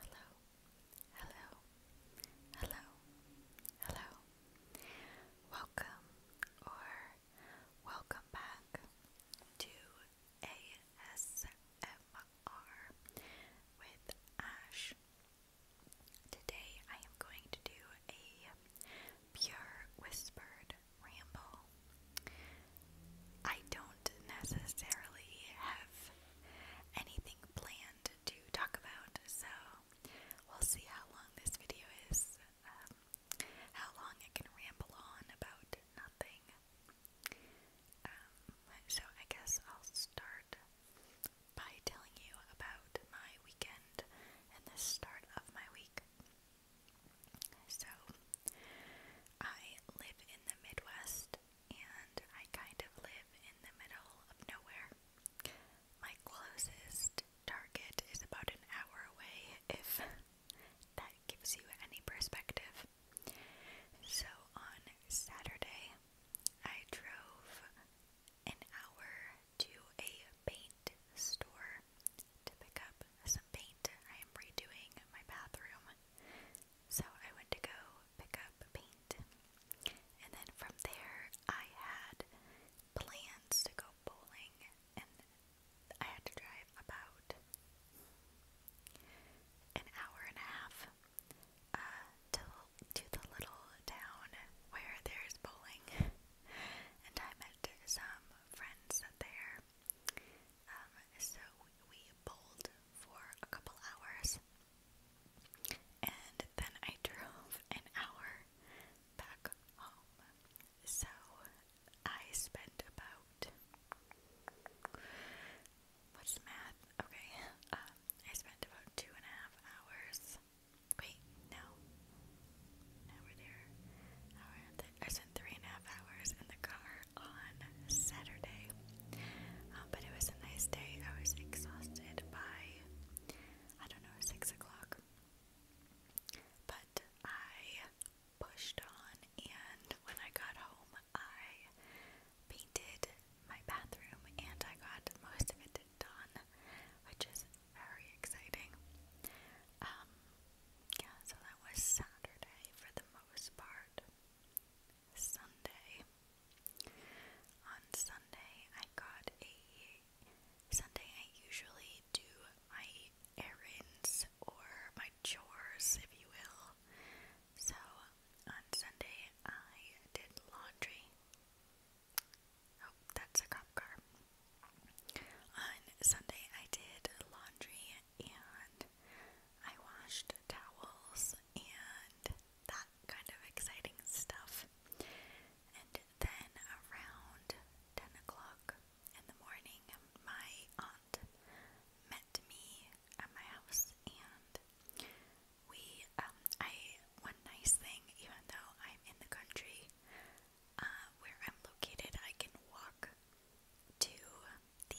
Hello, hello, hello, hello. Welcome or welcome back to ASMR with Ash. Today I am going to do a pure whispered ramble. I don't necessarily have anything planned to talk about, so we'll see how long this video is, um, how long I can ramble on about nothing. Um, so I guess I'll start by telling you about my weekend and the start of my week. So, I live in the Midwest, and I kind of live in the middle of nowhere. My closest target is about an hour away, if that gives you any perspective. So on Saturday, I drove an hour to a paint store to pick up some paint. I am redoing my bathroom. So I went to go pick up paint. And then from there, I had plans to go bowling, and I had to drive about an hour and a half uh, to, to the little town where there's bowling. and I met some friends there. Um, so we bowled for a couple hours. And then I drove an hour back home. So I spent about what's math? Okay, um, I spent about two and a half hours. Wait, no. Now we're there. I spent three and a half hours in the car on Saturday. Um, but it was a nice day. I was exhausted by, I don't know, 6 o'clock. But I pushed on, and when I got home, I painted my bathroom and I got most of it done, which is very exciting. Um, yeah, so that was Saturday for the most part. Sunday. On Sunday, I got a Sunday. I usually do my errands or my chores, if you will. So on Sunday, I did laundry. Oh, that's a cop car. On Sunday, I did laundry and I washed towels and that kind of exciting stuff. And then around 10 o'clock in the morning, my aunt met me at my house and we, um, I, one nice thing, even though I'm in the country uh, where I'm located, I can walk to the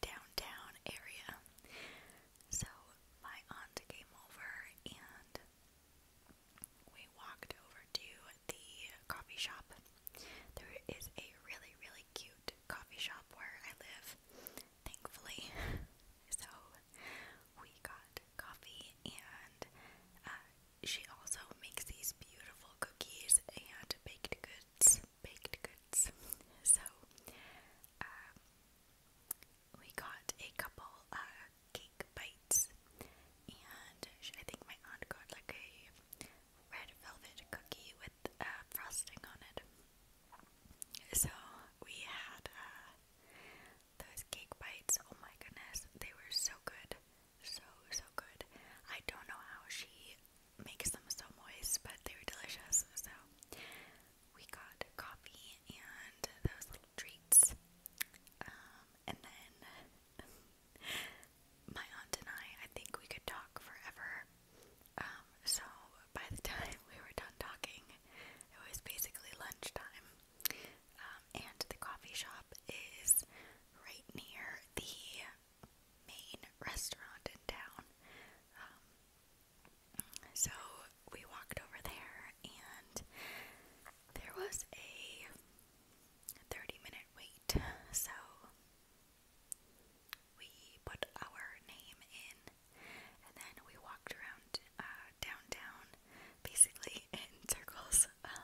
downtown area. So my aunt came over and we walked over to the coffee shop. There is a really, really cute coffee shop where I live, thankfully. So we got coffee and uh, she also makes these beautiful cookies and baked goods. Baked goods. So uh, we got a couple uh, cake bites, and I think my aunt got like a red velvet cookie with uh, frosting on it. So we had uh, those cake bites. Oh my goodness, they were so good, so so good. I don't know how she makes them so moist, but they were delicious. So we got coffee and those little treats. Um, and then my aunt and I, I think we could talk forever. Um, so by the time we were done talking, it was basically lunchtime. Um, and the coffee shop is right near the main restaurant in town. Um, so we walked over there, and there was a 30 minute wait. So we put our name in, and then we walked around uh, downtown basically in circles um,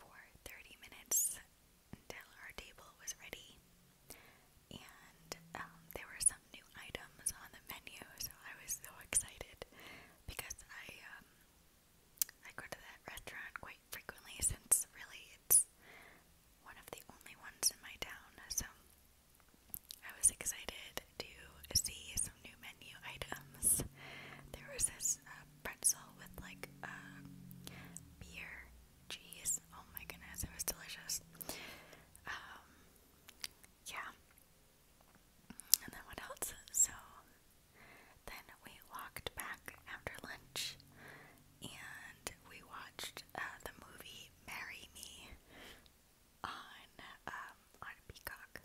for 30 minutes until our table was ready and um, there were some new items on the menu, so I was so excited because I um, I go to that restaurant quite frequently since really it's one of the only ones in my town, so I was excited to see some new menu items. There was this uh, pretzel with like uh, beer, cheese. Oh my goodness, it was delicious. Um, yeah. And then what else? So then we walked back after lunch and we watched uh, the movie Marry Me on um, on Peacock.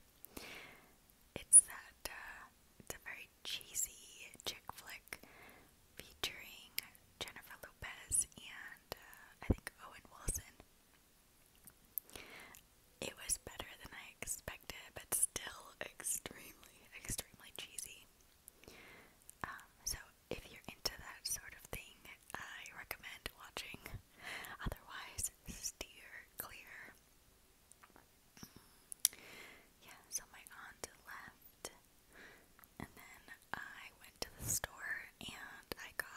It's that uh, it's a very cheesy chick flick featuring Jennifer Lopez and uh, I think Owen Wilson. It was better than I expected, but still extremely, extremely cheesy. Um, so if you're into that sort of thing, I recommend watching. Otherwise, steer clear. Mm. Yeah, so my aunt left, and then I went to the store and I got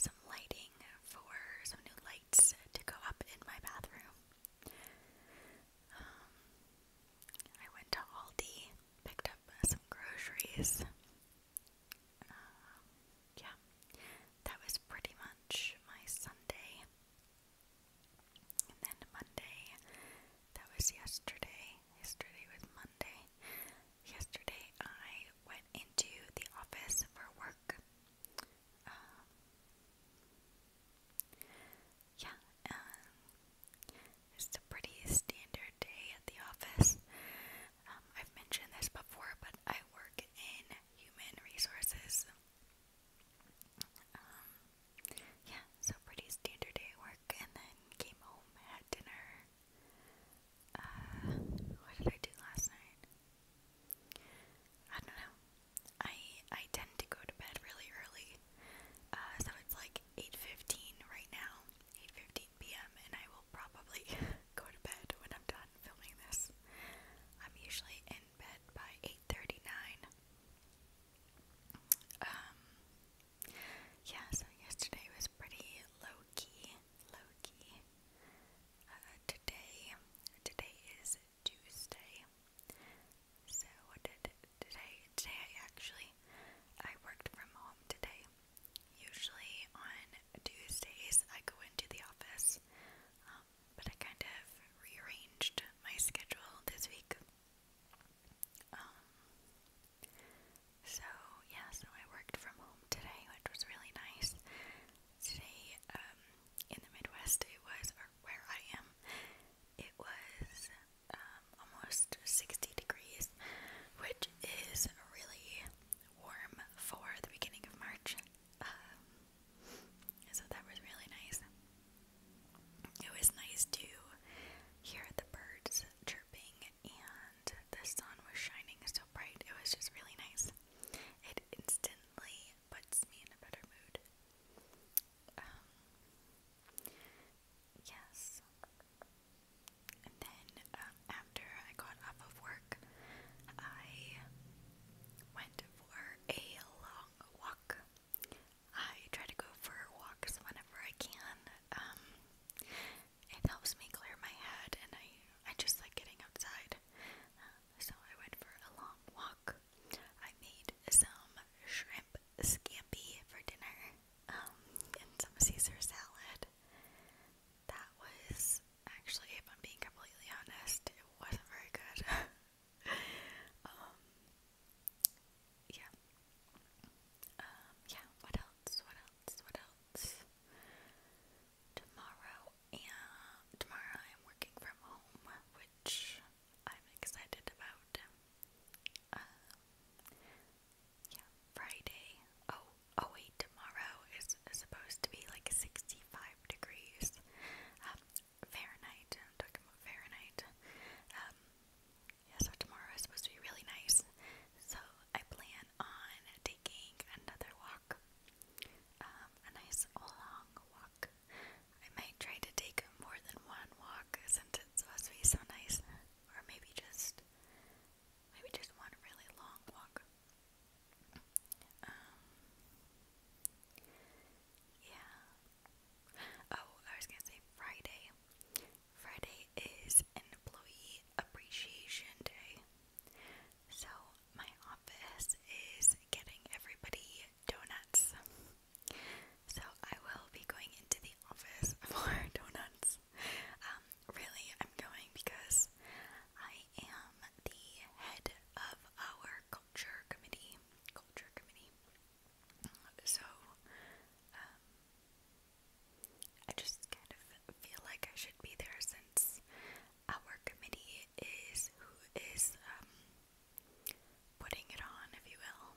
some lighting for some new lights to go up in my bathroom. Um, I went to Aldi, picked up some groceries. Um, yeah, that was pretty much my Sunday. And then Monday, that was yesterday. Yesterday was Monday. Yesterday, I went into the office for work. Um, yeah, um, it's a pretty standard day at the office. Um, I've mentioned this before, but I work in human resources. yeah, so pretty standard day work, and then came home, had dinner, uh, what did I do last night? I don't know. I I tend to go to bed really early, uh, so it's like 8:15 right now, 8:15 p.m. and I will probably go to bed when I'm done filming this. I'm usually in bed by 8:39. Um, yeah, so yesterday was pretty low key. Loki. Uh, today, today is Tuesday. So what did today? Today I actually I worked from home today. Usually on Tuesdays I go into the office, um, but I kind of rearranged my schedule this week. Um, so, yeah, so I worked from home today, which was really nice. Today, um, in the Midwest, it was, where I am, it was um, almost 60 degrees, which is really warm for the beginning of March. Um, so that was really nice. It was nice to hear the birds chirping and the sun was shining so bright. It was just really nice. It instantly puts me in a better mood. Um, yes. And then um, after I got off of work, I went for a long walk. I try to go for walks whenever I can. Um, it helps me clear my head, and I I just like getting outside. Uh, so I went for a long walk. I made some shrimp scampi for dinner, um, and some Caesar salad. That was actually, if I'm being completely honest, it wasn't very good. um, yeah. Um, yeah. What else? What else? What else? tomorrow and tomorrow I'm working from home, which I'm excited about. Uh, yeah, Friday. Oh, oh wait, tomorrow is supposed to be like 65 degrees um, Fahrenheit. I'm talking about Fahrenheit. Um, yeah, so tomorrow is supposed to be really nice. So I plan on taking another walk, um, a nice long walk. I might try to take more than one walk since it's supposed to be so nice, or maybe just maybe just one really long walk. Um, yeah. Oh, I was gonna say Friday. Friday is Employee Appreciation Day. So, my office is getting everybody donuts. So, I will be going into the office for donuts. Um, really, I'm going because I am the head of our culture committee. Culture committee. So, um, I just kind of feel like I should be there since our committee is who is um, putting it on, if you will.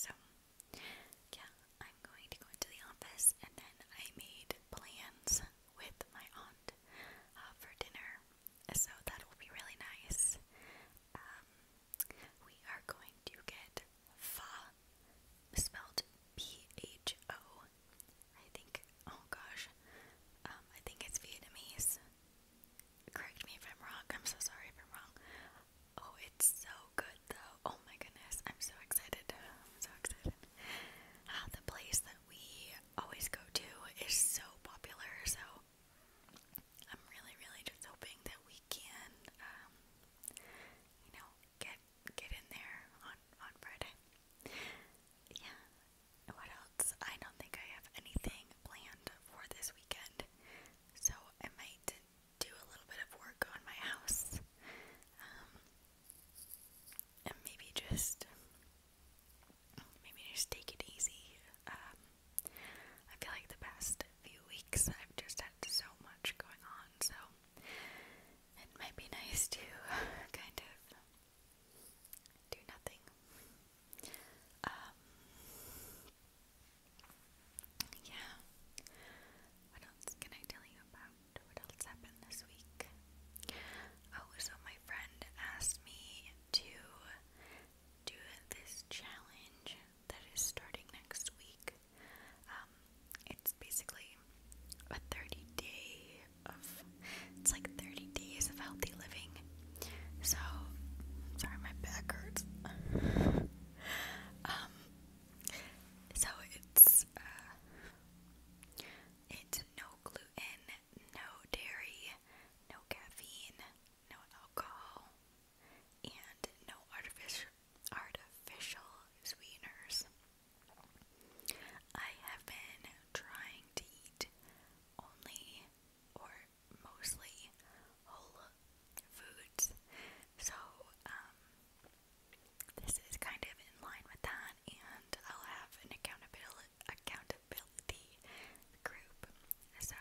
So, yeah, I'm going to go into the office and then I made plans with my aunt uh, for dinner, so that will be really nice. Um, we are going to get pho, spelled P H O, I think, oh gosh, um, I think it's Vietnamese. Correct me if I'm wrong. I'm so sorry if I'm wrong. Oh, it's so good though. Oh my goodness, I'm so excited. so excited. Ah, the place that we always go to is so popular, so I'm really, really just hoping that we can, um, you know, get get in there on on Friday. Yeah. What else? I don't think I have anything planned for this weekend, so I might do a little bit of work on my house, um, and maybe just maybe just take it easy. Um, I feel like the past few weeks I've just had so much going on, so it might be nice to kind of do nothing. Um, yeah. What else can I tell you about? What else happened this week? Oh, so my friend asked me to do this challenge that is starting next week. Um, it's basically a 30 day of it's like 30 days of healthy living. So sorry my back hurts. um so it's uh, it's no gluten, no dairy, no caffeine, no alcohol, and no artificial artificial sweeteners. I have been trying to eat only or mostly whole foods. So, um, this is kind of in line with that, and I'll have an accountability group. So,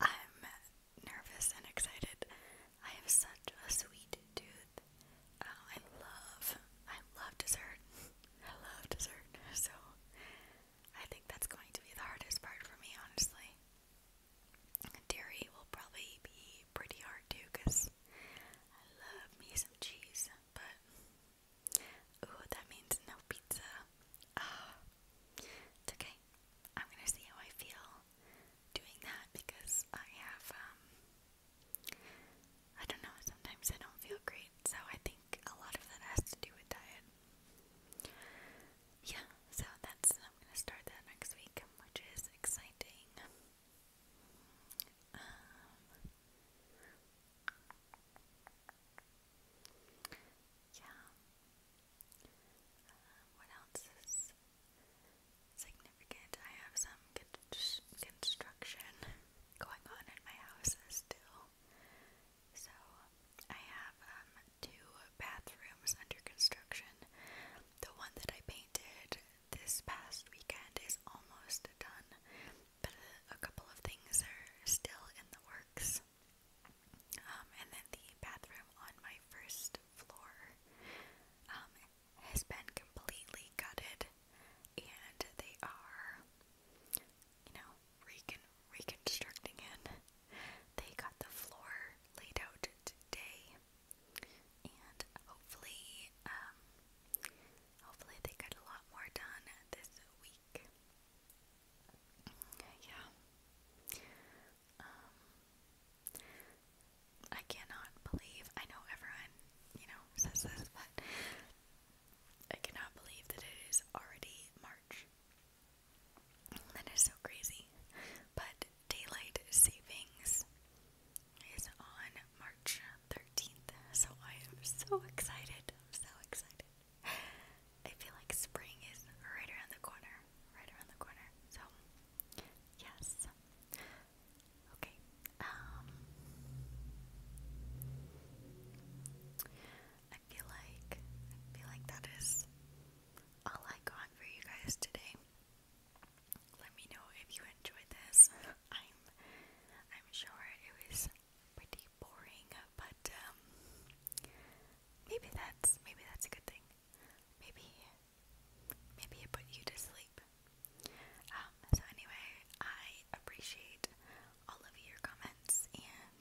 I'm nervous and excited. I have such a sweet tooth Oh, I love, I love dessert. I love dessert. So I think that's going to be the hardest part for me, honestly. Dairy will probably be pretty hard too, cause I love me some cheese. But ooh, that means no pizza. Ah, it's okay. I'm gonna see how I feel doing that because I have um I don't know, sometimes I don't feel great, so I think a lot of that has to do with diet. Yeah, so that's, I'm gonna start that next week, which is exciting. Um, yeah. Um, what else is significant? significant. I have some construction going on in my house still. So, I have um, two bathrooms under construction. The one that I painted this past weekend is almost done, but a, a couple of things are still in the works. Um, and then the bathroom on my first floor um, has been completely gutted and they are, you know, recon reconstructing it. They got the floor laid out today and hopefully, um, hopefully they get a lot more done this week. Yeah. Um, I cannot believe, I know everyone, you know, says this, but I cannot believe that it is already March. That is so crazy. But daylight savings is on March 13th, so I am so excited. I'm so excited. I feel like spring is right around the corner. Right around the corner. So, yes. Okay. Um I feel like I feel like that is all I got for you guys today. Let me know if you enjoyed this. I'm I'm sure it was pretty boring, but um maybe that's maybe that's a good thing. Maybe maybe it put you to sleep. Um, so anyway, I appreciate all of your comments and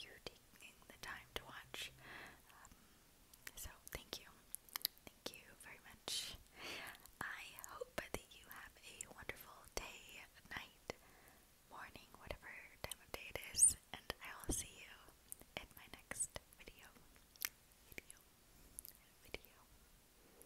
you taking the time to watch. Um, so thank you. Thank you very much. I hope that you have a wonderful day, night, morning, whatever time of day it is, and I will see you in my next video. Video. Video.